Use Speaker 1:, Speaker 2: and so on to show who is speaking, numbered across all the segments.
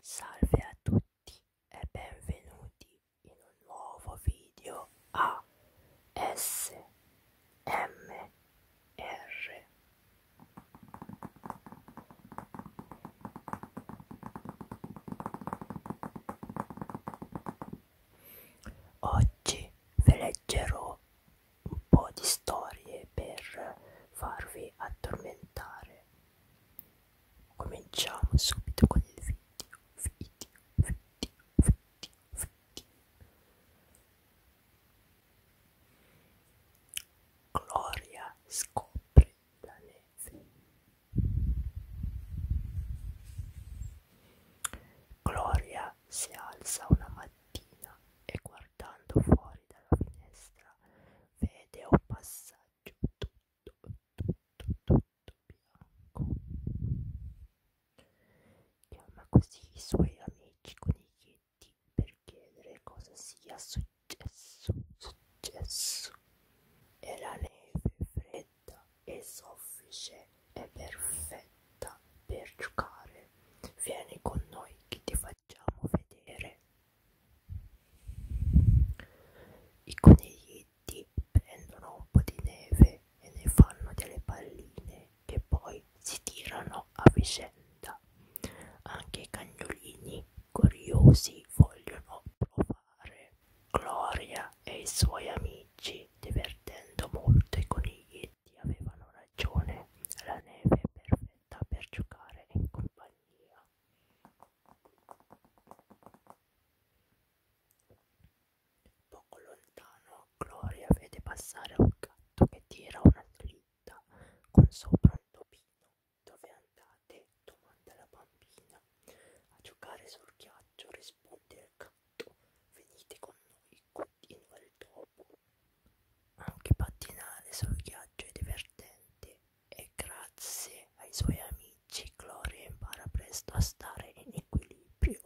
Speaker 1: Salve a tutti e benvenuti in un nuovo video a S M R Oggi vi leggerò un po' di storie per farvi addormentare. Cominciamo subito con il video, video, video, video, video. Gloria scopre la neve. Gloria si alza una mattina e guardando fuori dalla finestra vede un passaggio tutto, tutto, tutto bianco. Chiama così i suoi amici coniglietti per chiedere cosa sia successo, successo. E la neve fredda piatta e soffice è perfetta per giocare. Vieni con noi che ti facciamo vedere. I coniglietti prendono un po' di neve e ne fanno delle palline che poi si tirano a vicenda. Anche i cagnolini curiosi vogliono provare scappare. Gloria e i suoi amici, divertendo molto i coniglietti, avevano ragione. La neve è perfetta per giocare in compagnia. Poco lontano, Gloria vede passare un gatto che tira una slitta con sopra un topino. Dove andate? domanda la bambina. A giocare sul ghiaccio risponde del canto, venite con noi, continua il topo. Anche ah, pattinare sul ghiaccio è divertente e grazie ai suoi amici Gloria impara presto a stare in equilibrio.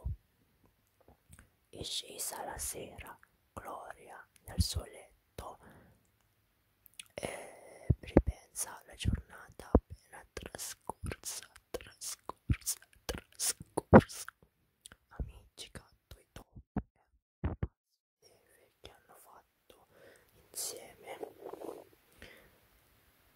Speaker 1: È scesa la sera, Gloria nel suo letto e ripensa alla giornata appena trascorsa trascorsa, trascorsa. Amici gatto e top e eh, neve che hanno fatto insieme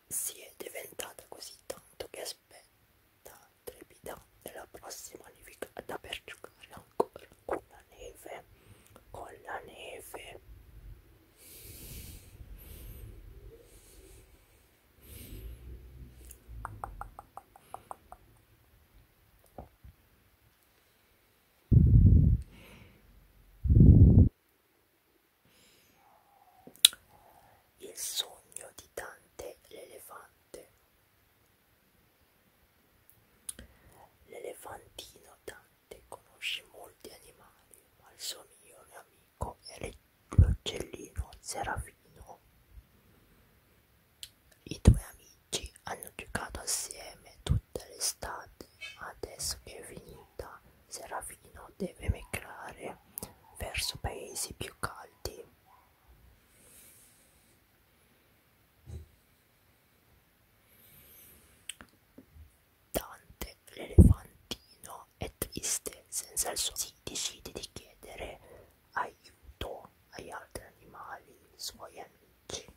Speaker 1: si è diventata così tanto che aspetta trepidante la prossima nevicata per giocare ancora con la neve con la neve il sogno di Dante l'elefante. L'elefantino Dante conosce molti animali, ma il suo migliore amico come l'uccellino Serafino. I due amici hanno giocato assieme tutta l'estate. Adesso che è finita, Serafino deve migrare verso paesi più caldi. Dante che l'elefantino è triste senza il suo si decide di chiedere aiuto agli altri animali, suoi amici.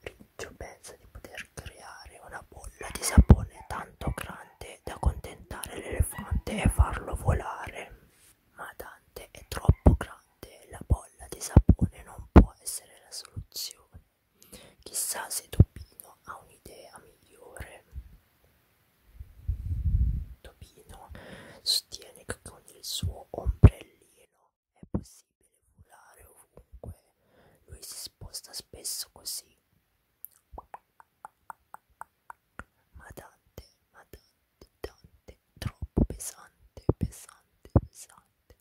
Speaker 1: Riccio pensa di poter creare una bolla di sapone tanto grande da contentare l'elefante e farlo volare. Ma Dante è troppo grande, la bolla di sapone non può essere la soluzione. Chissà se Topino ha un'idea migliore. Topino sostiene che con il suo ombrellino è possibile volare ovunque. Lui si sposta spesso così. Ma Dante, ma Dante, Dante, troppo pesante, pesante, pesante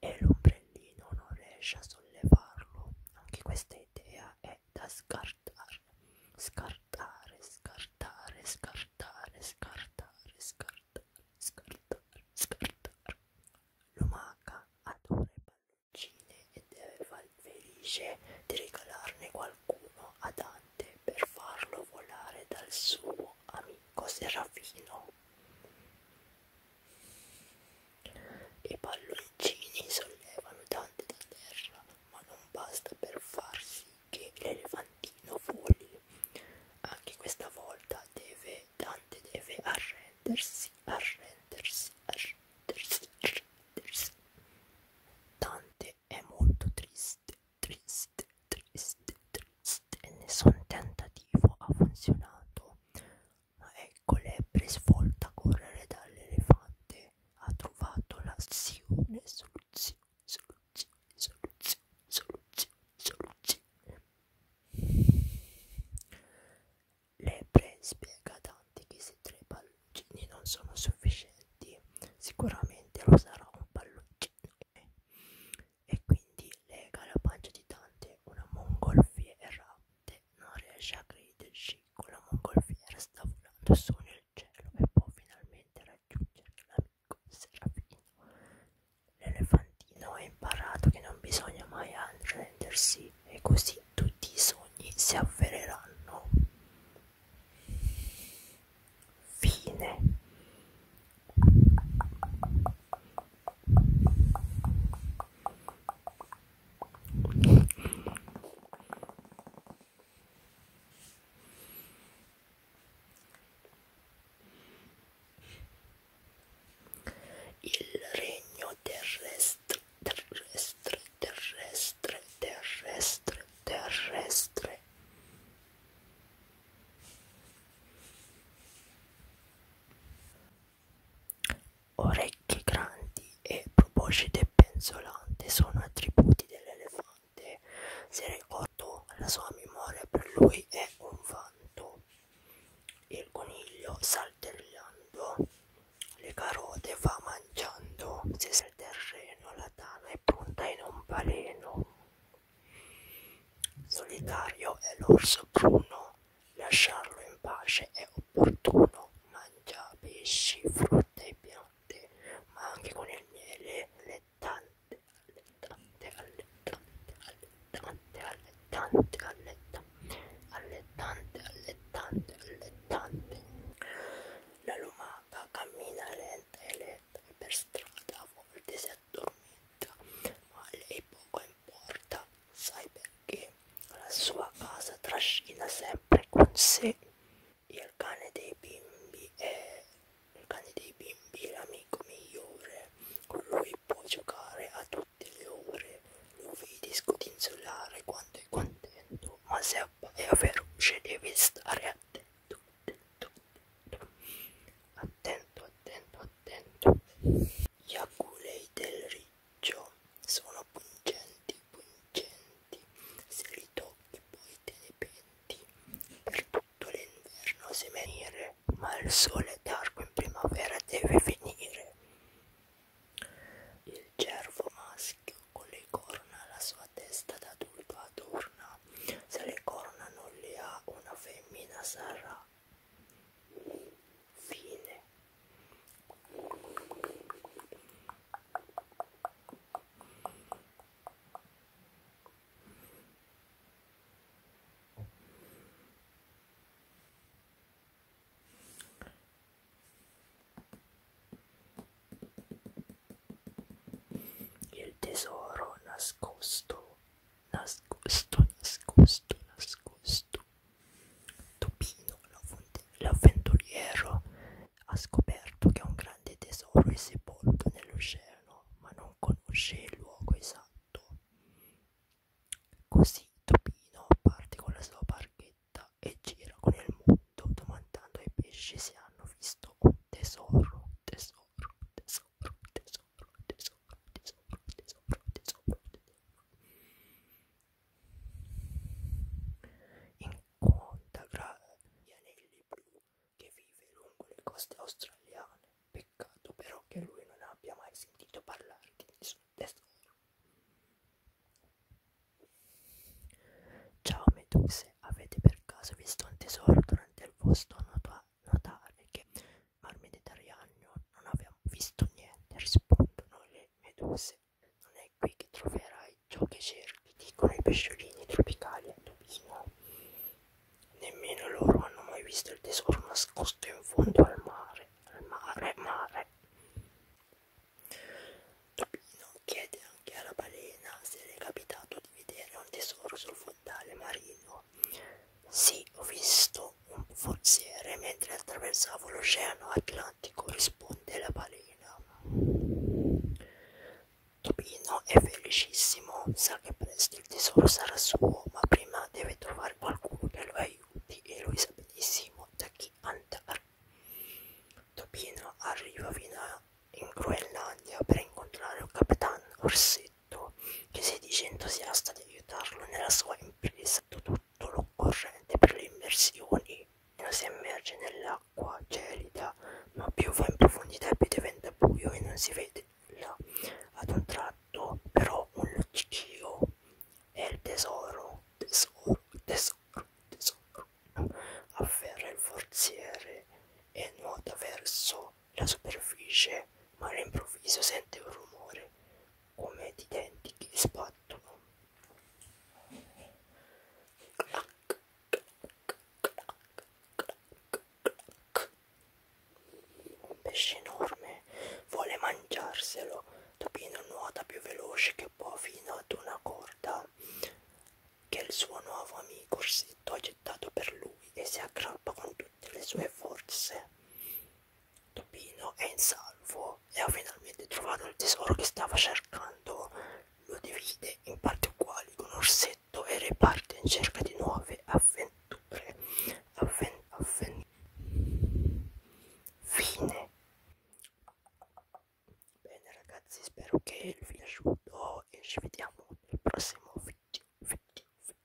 Speaker 1: e l'ombrellino non riesce a sollevarlo. Anche questa idea è da scartare. Scartare, scartare, scartare, scartare, scartare, scartare, scartare. Lumaca adora i palloncini e deve far felice di regalarne qualcuno a Dante per farlo volare dal suo amico Serafino. I palloncini sollevano Dante da terra, ma non basta per far sì che l'elefantino voli. Anche questa volta deve, Dante deve arrendersi, arrendersi, arrendersi, arrendersi. Dante è molto triste, triste, triste, triste e nessun tentativo ha funzionato. Ecco Lepre svolta a correre dall'elefante. Ha trovato l'azione, soluzione, soluzione, soluzione, soluzione, soluzione. Lepre spiega a Dante che se tre palloncini non sono sufficienti, sicuramente lo sarà un palloncino e quindi lega la pancia di Dante una mongolfiera. Non riesce a crederci, con la mongolfiera sta volando su nel cielo e può finalmente raggiungere l'amico Serafino. L'elefantino ha imparato che non bisogna mai arrendersi e così tutti i sogni si avvereranno. Fine. Il regno terrestre, terrestre, terrestre, terrestre, terrestre. Orecchie grandi e proboscide penzolante sono attributi dell'elefante. Se ricordo la sua memoria per lui è un vanto. Il coniglio saltellando le carote va mangiando. Se sul terreno la tana è pronta in un baleno. Solitario è l'orso bruno lasciarlo in pace è opportuno. Mangia pesci, frutta e piante, ma anche con il miele, allettante, allettante, allettante, allettante, allettante, allettante, allettante, allettante, allettante. La lumaca cammina lenta e lenta per strada, a volte si addormenta, ma lei poco importa, sai perché? La sua casa trascina sempre con sé il cane dei bimbi è il cane dei bimbi l'amico migliore con lui puoi giocare a tutte le ore lo vedi scodinzolare quando è contento ma se è feroce devi stare attento attento attento attento attento gli aculei del riccio sono pungenti, pungenti, se li tocchi poi te ne penti. Per tutto l'inverno si venire, ma il sole d'arco in primavera deve finire. Il cervo maschio con le corna la sua testa d'adulto adorna, se le corna non le ha una femmina sarà. Fine. Il tesoro nascosto nascosto, nascosto, nascosto. Topino, l'avventuriero, ha scoperto che un grande tesoro è sepolto nell'oceano, ma non conosce il luogo esatto. Così Topino parte con la sua barchetta e gira con il mondo domandando ai pesci se hanno visto un tesoro, tesoro, tesoro sopra, di sopra, di sopra, di sopra, di sopra, di sopra, di sopra. In quanta grave gli anelli blu che vive lungo le coste australiane. Peccato però che lui non abbia mai sentito parlare di nessun tesoro. Ciao Meduse, avete per caso visto un tesoro durante il vostro notare che ma al Mediterraneo non abbiamo visto niente, rispondono le meduse. Non è qui che troverai ciò che cerchi, dicono i pesciolini tropicali a Tobino. Nemmeno loro hanno mai visto il tesoro nascosto in fondo al mare, al mare, mare. Tobino chiede anche alla balena se le è capitato di vedere un tesoro sul fondo dal marito. Sì, ho visto un forziere mentre attraversavo l'oceano Atlantico, risponde la balena. Topino è felicissimo, sa che presto il tesoro sarà suo, ma prima deve trovare qualcuno che lo aiuti e lui sa benissimo da chi andare. Topino arriva fino in Groenlandia per incontrare un capitano Orsino detto che si dice entusiasta di aiutarlo nella sua impresa, tutto l'occorrente per le immersioni. Meno si immerge nell'acqua gelida, ma più va in profondità e più diventa buio e non si vede nulla. Ad un tratto, però, un luccichio è il tesoro, tesoro, tesoro, tesoro. Afferra il forziere e nuota verso la superficie, ma all'improvviso sente un rumore come di denti che sbattono. Clac, clac, clac, clac. Un pesce enorme vuole mangiarselo. Topino nuota più veloce che può fino ad una corda che il suo nuovo amico orsetto ha gettato per lui e si aggrappa con tutte le sue forze. Topino è in salvo e ha finalmente trovato il tesoro che stava cercando. Lo divide in parti uguali con Orsetto e riparte in cerca di nuove avventure. Avven avven Fine. Bene ragazzi, spero che vi sia piaciuto e ci vediamo nel prossimo video. video, video.